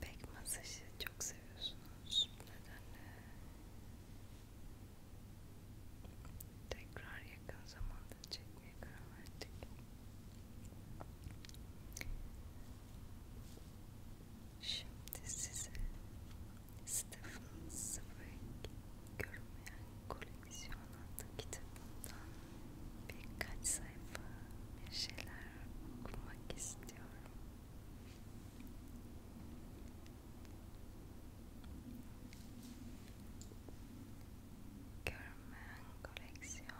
Pek masajı çok seviyorsunuz. Bu nedenle tekrar yakın zamanda çekmeye karar verdik. Şimdi size Stephen Zweig görünmeyen koleksiyon adlı kitabından birkaç sayfa bir şeyler okumak istiyorum. Görünmeyen koleksiyon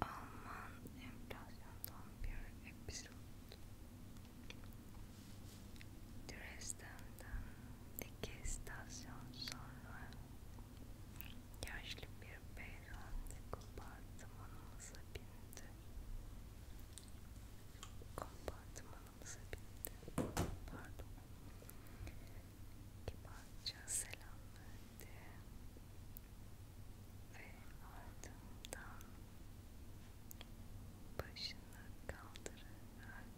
Alman enflasyondan bir episod Dresden'den iki istasyon sonra yaşlı bir beyefendi kompartımanımıza bindi. Kompartımanımıza bindi. Pardon. Kibarca selam verdi ve ardından başını kaldırarak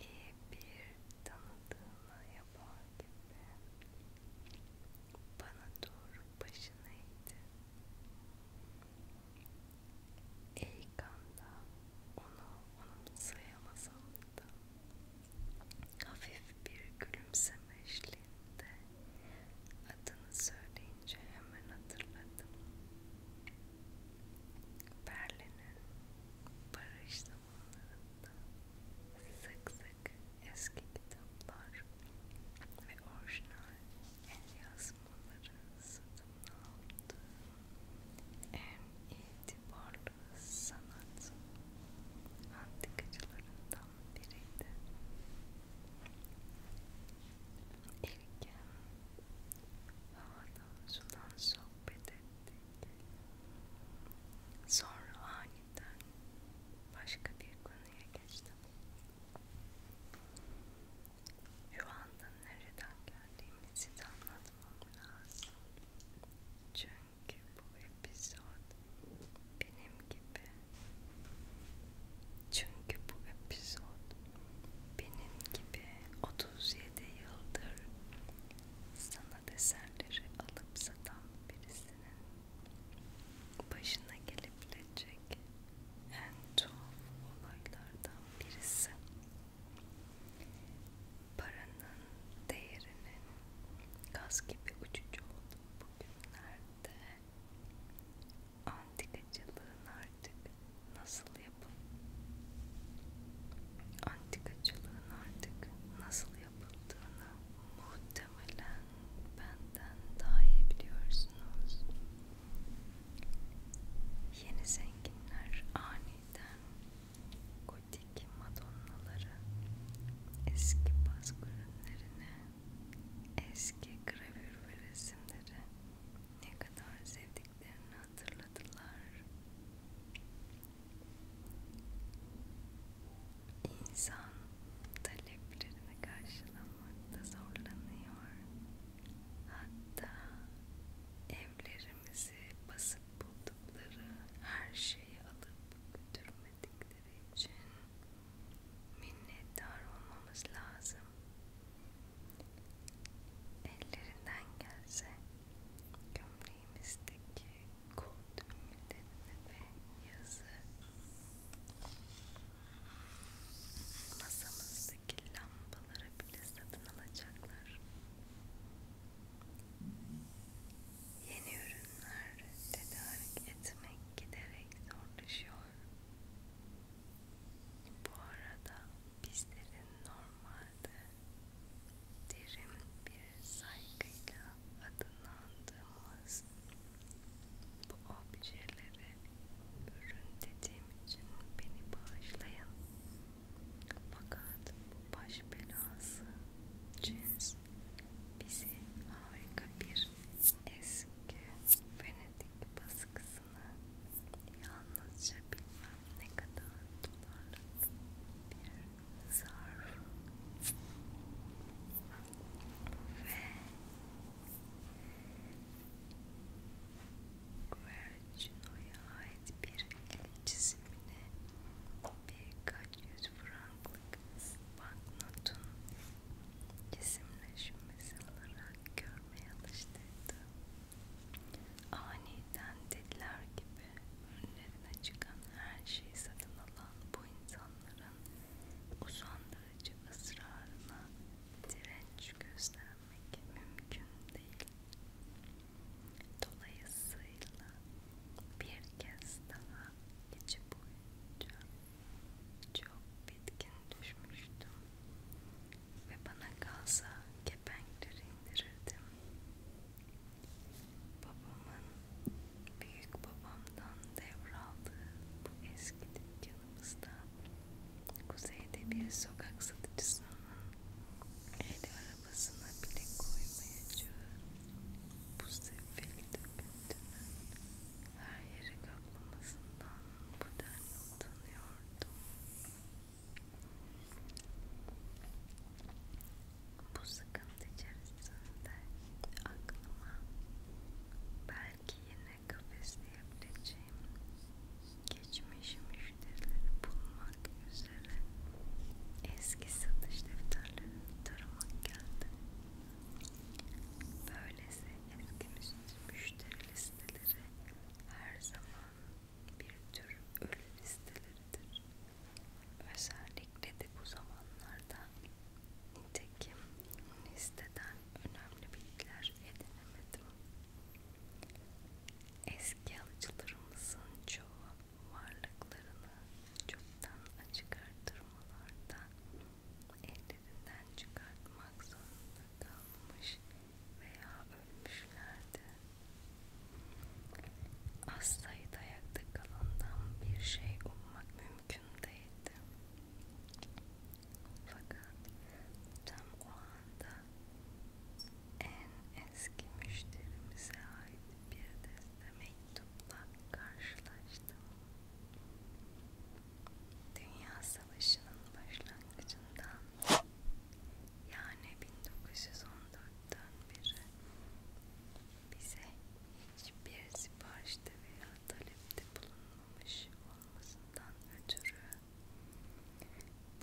iyi bir tanıdığına yapar gibi bana doğru başını eğdi. İlk anda onu onun sayamazam da hafif bir gülümsemeyle geldiğinde adını söyleyince hemen hatırladım. Berlin'in barış zamanlarında sık sık eski kitaplar ve orijinal el yazmaları satın aldı. En itibarlı sanat antikacılarından biriydi. İlk havada sudan sohbet ettik. Sonra aniden başka bir konuya geçtim. Şu anda nereden geldiğimi size anlatmam lazım. Çünkü bu episod benim gibi çünkü bu epizod benim gibi 37 yıldır sanat eserleri alıp satan birisinin başına gelebilecek en tuhaf olaylardan birisi paranın değerinin gaz gibi uçucu olduğu bugünlerde Antikacılığın artık nasıl yapın? Antikacılığın artık nasıl yapıldığını muhtemelen benden daha iyi biliyorsunuz. Yeni zenginler aniden gotik madonnaları eski baz ürünlerine Eski gravür ve resimleri ne kadar sevdiklerini hatırladılar. İnsan taleplerini karşılamakta zorlanıyor. Hatta evlerimizi basıp buldukları her şeyi alıp götürmedikleri için minnettar olmamız lazım. Ellerinden gelse gömleğimizdeki kod ümmetlerine ve yazı masamızdaki lambaları bile satın alacaklar. Yeni ürünler tedarik etmek giderek zorlaşıyor. Bu arada bizlerin normalde derin bir saygıyla adlandığımız bu objeleri ürün dediğim için beni bağışlayın. Fakat bu baş belası cins bizi harika bir eski Venedik baskısını yalnızca bilmem ne kadar dolarlık bir zarf ve Guercino'ya ait bir el çizimini birkaç yüz franklık banknotun cisimleşmesi olarak görmeye alıştırdı. Aniden dediler gibi önlerine çıkan her şeyi satın alan bu insanların uzandırıcı ısrarına direnç göstermek mümkün değil. Dolayısıyla bir kez daha içi boyunca çok bitkin düşmüştüm ve bana kalsa kepenkleri indirirdim. Babamın büyük babamdan devraldığı bu eski dükkanımızda kuzeyde bir sokak satıcısının eli arabasına bile koymayacağım. Bu sefil döküntünün her yeri kaplamasından bu denli utanıyordum. Bu sıkıntı içerisinde aklıma belki yine kafesleyebileceğim geçmiş müşterileri bulmak üzere defterlerine eski satış defterlerine taramak geldi. Böylesi eski müşteri listeleri her zaman bir tür ölü listeleridir. Özellikle de bu zamanlarda nitekim listeden önemli bilgiler edinemedim. Eski alıcılarımızın çoğu varlıklarını çoktan açık artırmalarda ellerinden çıkartmak zorunda kalmış veya ölmüşlerdi. Az sayıda ayakta kalandan bir şey ummak mümkün değildi. Fakat tam o anda en eski müşterimize ait bir deste mektupla karşılaştım. Dünya Savaşı'nın başlangıcından yani 1914'ten beri bize hiçbir siparişte veya talepte bulunmamış olmasından ötürü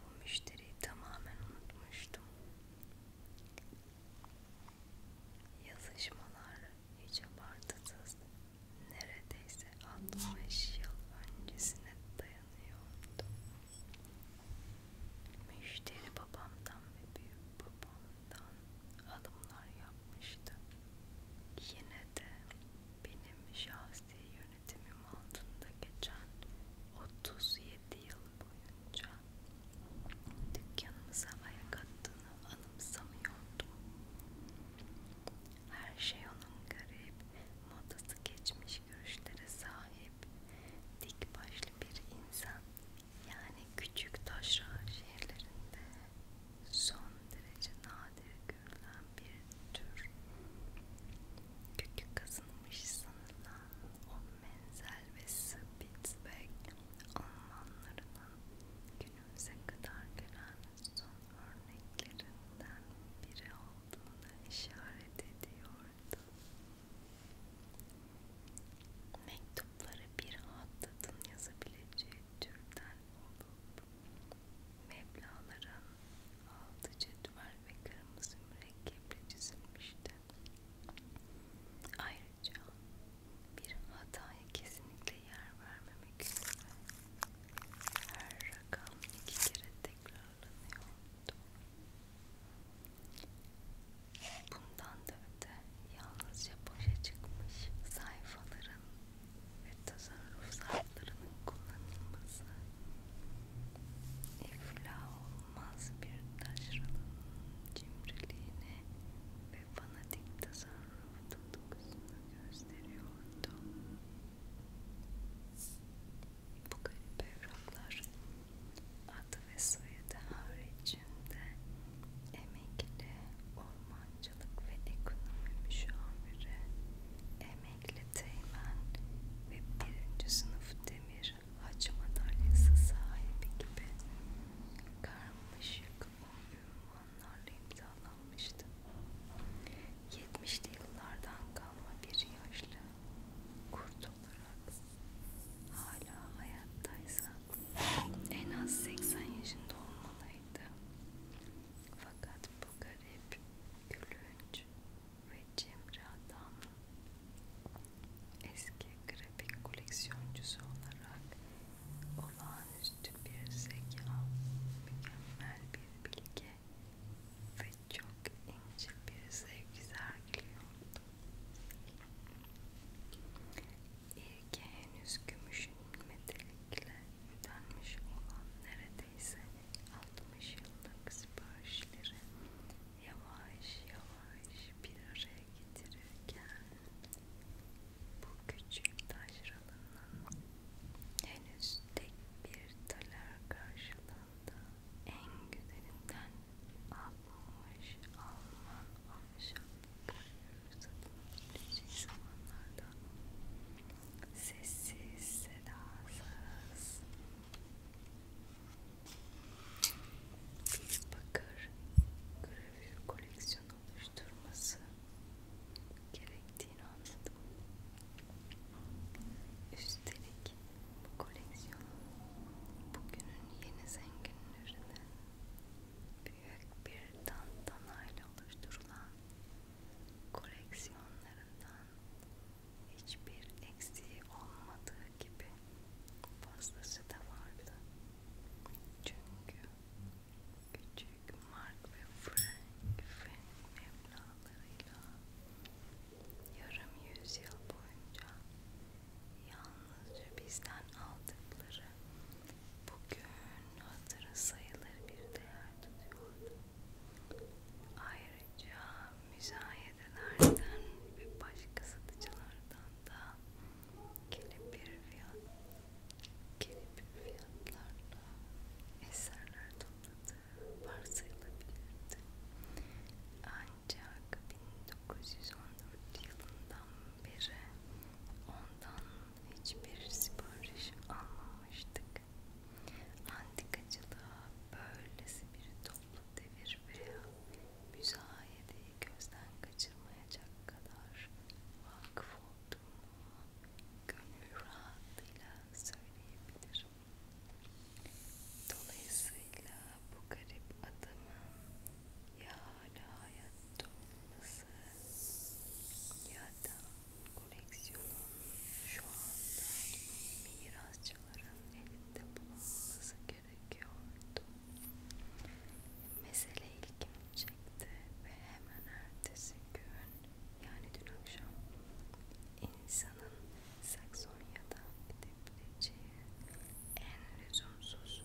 bu müşteriyi tamamen unutmuştum. Yazışmalar hiç abartısız neredeyse 65 yıl öncesine dayanıyordu. Müşteri babamdan ve büyük babamdan alımlar yapmıştı. Yine de benim şahsi yönetimim altında geçen 37 yıl boyunca dükkanımıza ayak attığını anımsamıyordum. Her şey onun garip, modası geçmiş görüşlere sahip, dik başlı bir insan. Yani küçük taşra şehirlerinde son derece nadir görülen bir tür. Kökü kazınmış sanılan o menzel ve Spitzberg Almanlarının günümüze kadar gelen son örneklerinden biri olduğuna işaret ediyordu. Mektupları bir hattatın yazabileceği türden olup meblaların altı cetvel ve kırmızı mürekkeple çizilmişti. Ayrıca bir hataya kesinlikle yer vermemek üzere her rakam iki kere tekrarlanıyordu. Bundan da öte yalnızca boşa çıkmış sayfaların ve tasarrufsal kitaplarının kullanılması iflah olmaz bir taşralının cimriliğini ve fanatik tasarruf tutkusunu gösteriyordu. Bu garip evraklar adı ve soyadı haricinde emekli, ormancılık ve ekonomi müşaviri, Emekli Teğmen ve birinci sınıf demir haç madalyası sahibi gibi karmaşık ünvanlarla imzalanmıştı. 70'li yıllardan kalma bir yaşlı kurt olarak hala hayattaysa en az 80 yaşında olmalıydı. Fakat bu garip, gülünç ve Cemre Adam eski grafik koleksiyoncusu olarak olağanüstü bir zeka, mükemmel bir bilgi ve çok ince bir sevgi sergiliyordu. İyi ki henüz gümüşün metelikle ödenmiş olan neredeyse 60 yıllık siparişleri yavaş yavaş bir araya getirirken bu küçük taşranın henüz tek bir taler karşılığında en güzelinden 60 Alman ahşap satın edileceği zamanlarda sessiz, sedasız bakır gravür koleksiyon oluşturması gerektiğini anladım. Üstelik bu koleksiyonun bugünün yeni zenginlerinden büyük bir tantanayla oluşturulan koleksiyonlarından hiçbir eksiği olmadığı gibi fazlası da vardı. Çünkü küçük Mark ve Frank Frank mevlalarıyla yarım yüzyıl boyunca yalnızca bizden aldıkları bugün hatırı sayılır bir değer tutuyordu. Ayrıca müzayedelerden ve başka satıcılardan da gelip bir fiyat, gelip bir fiyatlarla eserler topladı, varsayılabilirdi. Ancak 1914 yılından beri ondan hiçbir sipariş almamıştık olarak antikacılığa böylesi bir toplu devir veya müzayedeyi gözden kaçırmayacak kadar vakıf olduğumu gönül rahatlığıyla söyleyebilirim. Dolayısıyla bu garip adamın ya hala hayatta olması ya da koleksiyonun şu anda mirasçıların elinde bulunması gerekiyordu. Mesele ilgimi çekti ve hemen ertesi gün yani dün akşam insanın Saksonya'da gidebileceği en lüzumsuz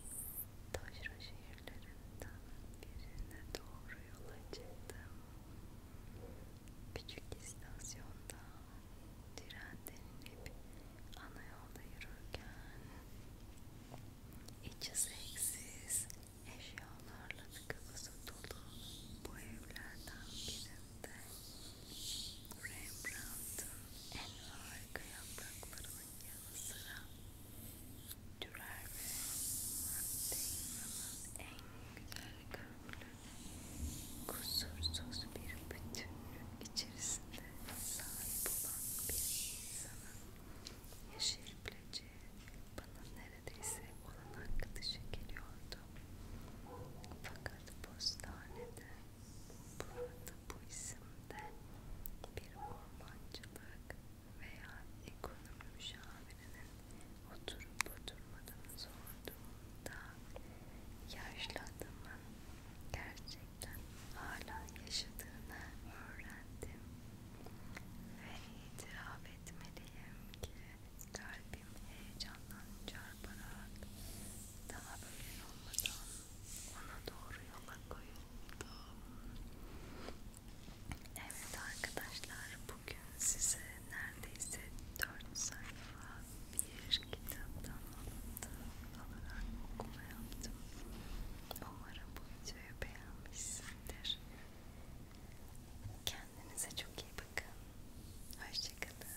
taşra şehirlerinden nehirlerinden birine doğru yola çıktım. Küçük istasyonda trenden inip ana yolda yürürken içi seksiz eşyalarla tıkabısı dolu bu evlerden birinde Rembrandt'ın en harika yapraklarının yanı sıra Dürer ve Mantegna'nın en güzel köprülü kusursuz bir bütünlük içerisinde sahip olan bir insanın yaşayabileceği bana neredeyse olanak dışı geliyordu. Fakat postanede burada bu isimde bir ormancılık veya ekonomi müşavirinin oturup oturmadığını sorduğunda yaşlı adamın gerçekten hala yaşadığını öğrendim ve itiraf etmeliyim ki kalbim heyecandan çarparak daha böyle olmadan ona doğru yola koyuldum Evet arkadaşlar bugün size neredeyse 4 sayfa bir kitaptan alıntı alarak okuma yaptım. Umarım bu videoyu beğenmişsindir. Kendinize çok iyi bakın. Hoşçakalın.